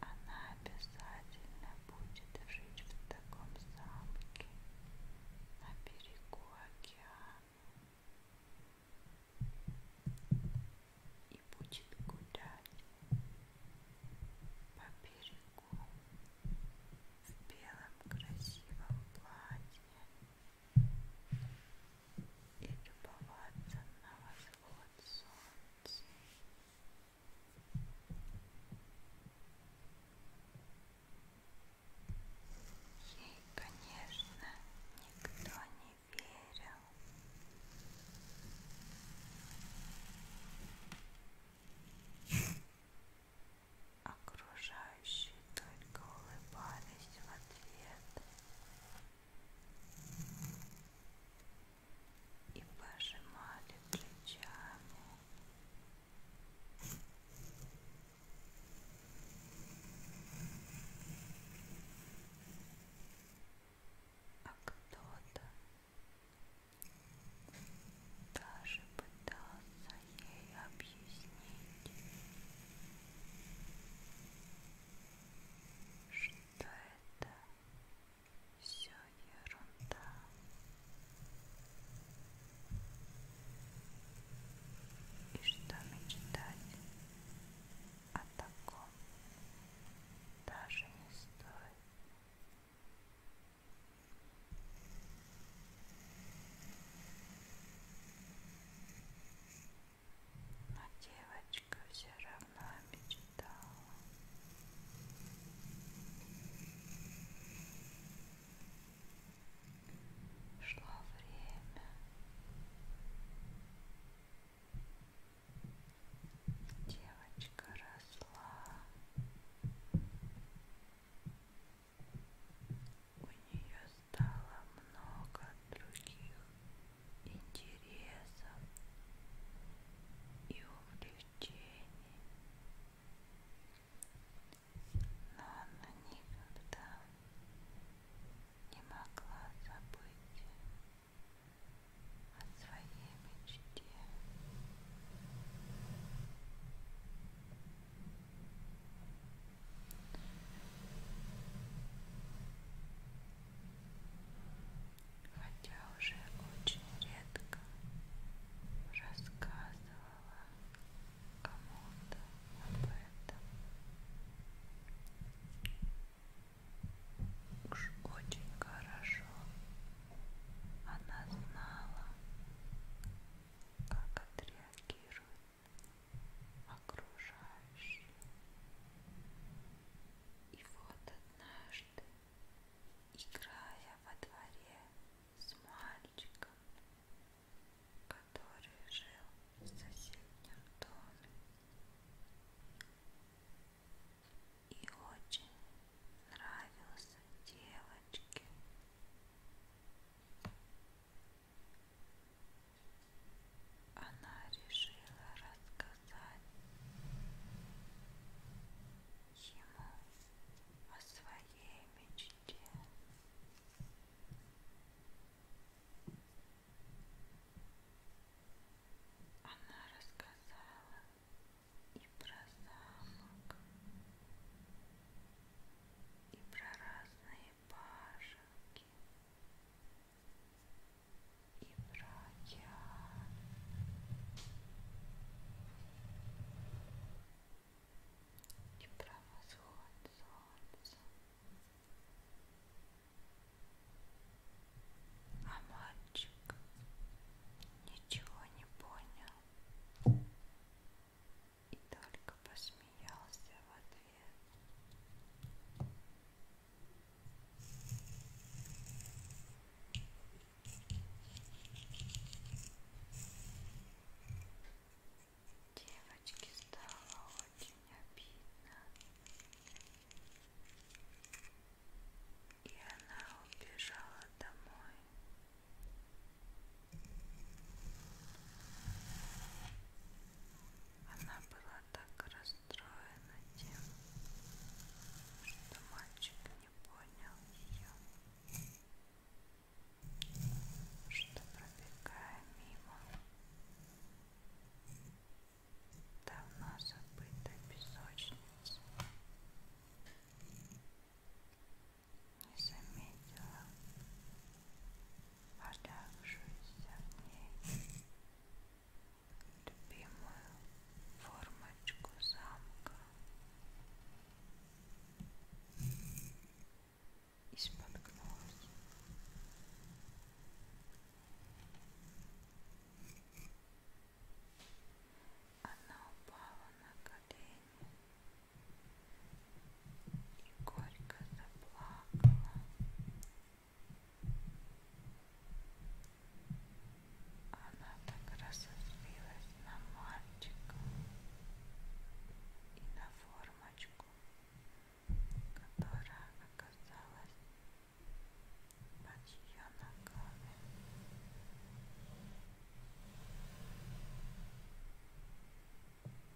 Она обязательно будет жить в таком замке на берегу океана и будет гулять по берегу в белом красивом платье і любоваться на восход сонця. Ей, конечно, никто не верил. Окружающие окружающие только улыбались в ответ и пожимали плечами. А кто-то даже пытался ей объяснить, что это все ерунда. И что мечтать о таком даже не стоит но девочка все равно мечтала. Шло время. Девочка росла. У нее стало много других интересов и увлечений, но она никогда не могла забыть о своей мечте. Хотя уже очень редко рассказывала кому-то об этом. Уж очень хорошо она знала, как отреагирует окружающие. И вот однажды, играя во дворе с мальчиком, который жил в соседнем доме, и очень нравился девочке. Она решила рассказать ему о своей мечте. Она рассказала и про замок, и про разные башенки и братья. И про восход солнца. А мальчик ничего не понял и только посмеялся в ответ. Девочке стало очень обидно, и она убежала домой. Она была так расстроена тем, что мальчик не понял ее, что пробегая мимо давно забытой песочницы не заметила подавшуюся в ней любимую формочку замка и споткнулась. Она упала на колени и горько заплакала. Она так разозлилась на мальчика и на формочку, которая оказалась под ее ногами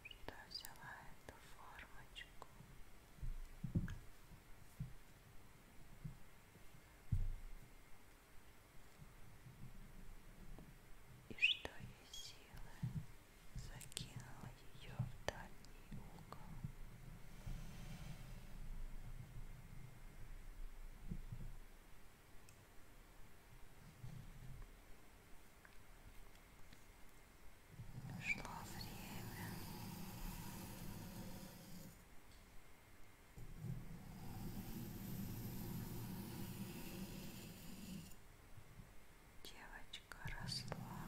что взяла эту формочку и что я силы закинула ее в дальний угол. Шло время. Девочка росла.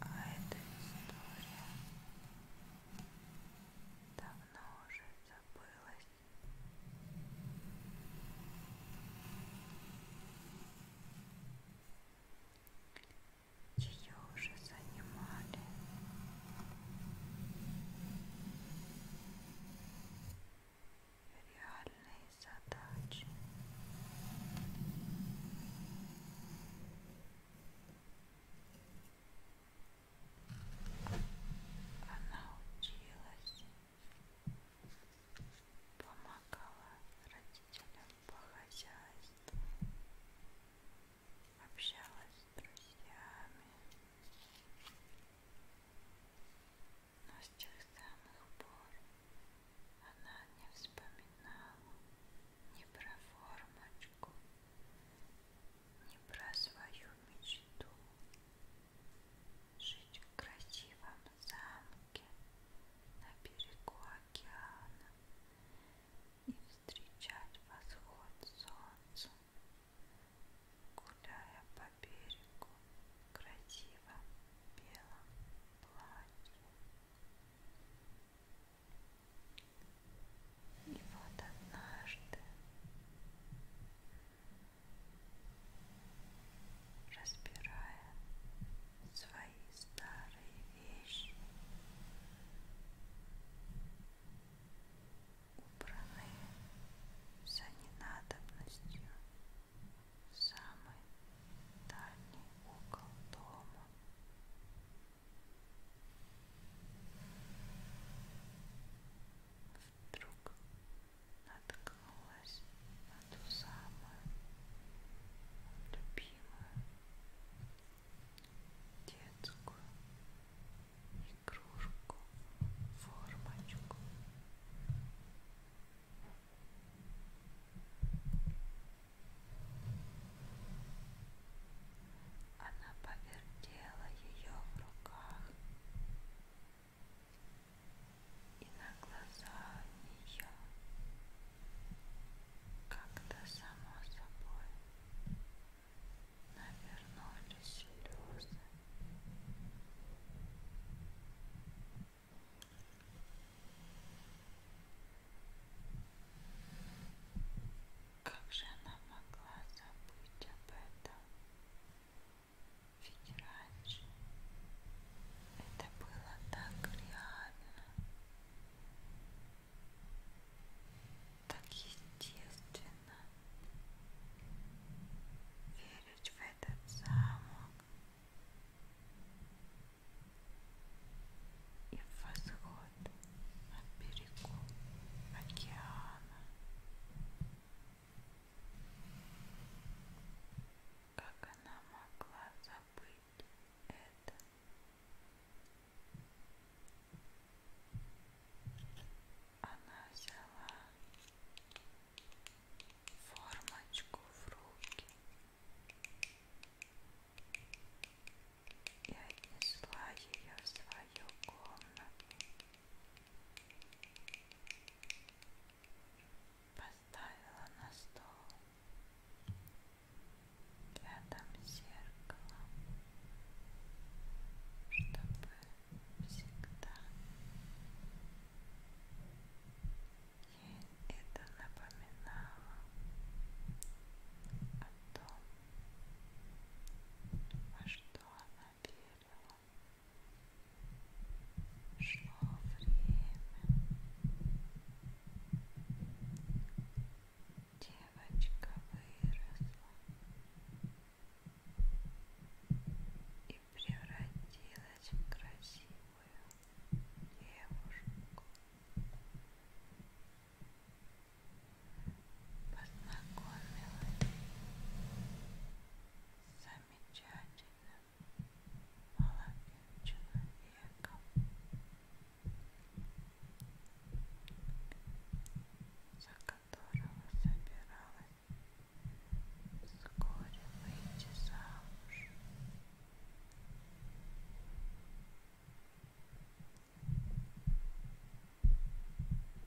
А эта история давно уже забылось. Ее уже занимали. Реальные задачи. Она училась, помогала родителям по хозяйству, общалась с друзьями. Но с тех самых пор она не вспоминала ни про формочку, не про свою мечту Жить в красивом замке На берегу океана И встречать восход солнца Гуляя по берегу в красивом белом платье и вот однажды разбирая свои старые вещи, убранные за ненадобностью в самый дальний угол дома. Вдруг наткнулась на ту самую любимую детскую игрушку, формочку. Она повертела ее в руках, и на глаза нее как-то само собой навернулись слезы. Как же она могла забыть об этом? Ведь раньше это было так реально, так естественно верить в этот замок, и в восход от берегу океана. Как она могла забыть это? Она взяла формочку в руки и отнесла ее в свою комнату. Поставила на стол рядом зеркало, чтобы всегда ей это напоминало о о том, во что она верила. Шло время. Девочка выросла и превратилась в красивую девушку познакомилась с замечательным молодым человеком. За которого собиралась вскоре выйти замуж.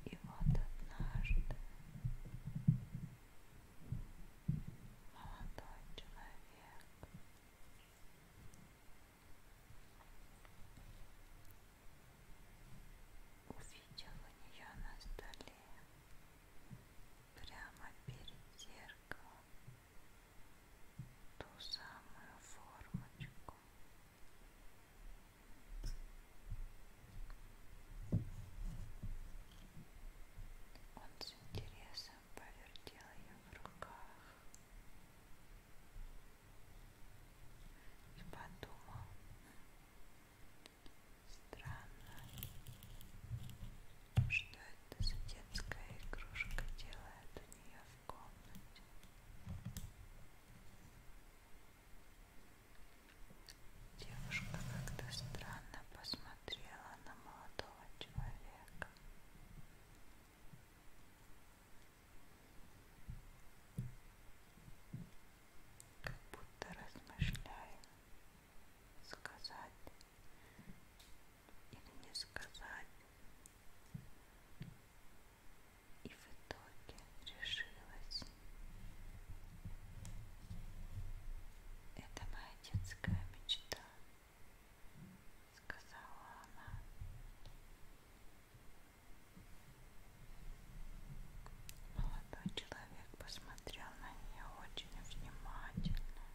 И вот однажды молодой человек увидел у нее на столе прямо перед зеркалом ту самую формочку. Он с интересом повертел ее в руках и подумал, странно, что это за детская игрушка делает у нее в комнате. Девушка как-то странно посмотрела на молодого человека. Как будто размышляя сказать или не сказать. И в итоге решилась. Это моя детская мечта, сказала она. Молодой человек посмотрел на нее очень внимательно.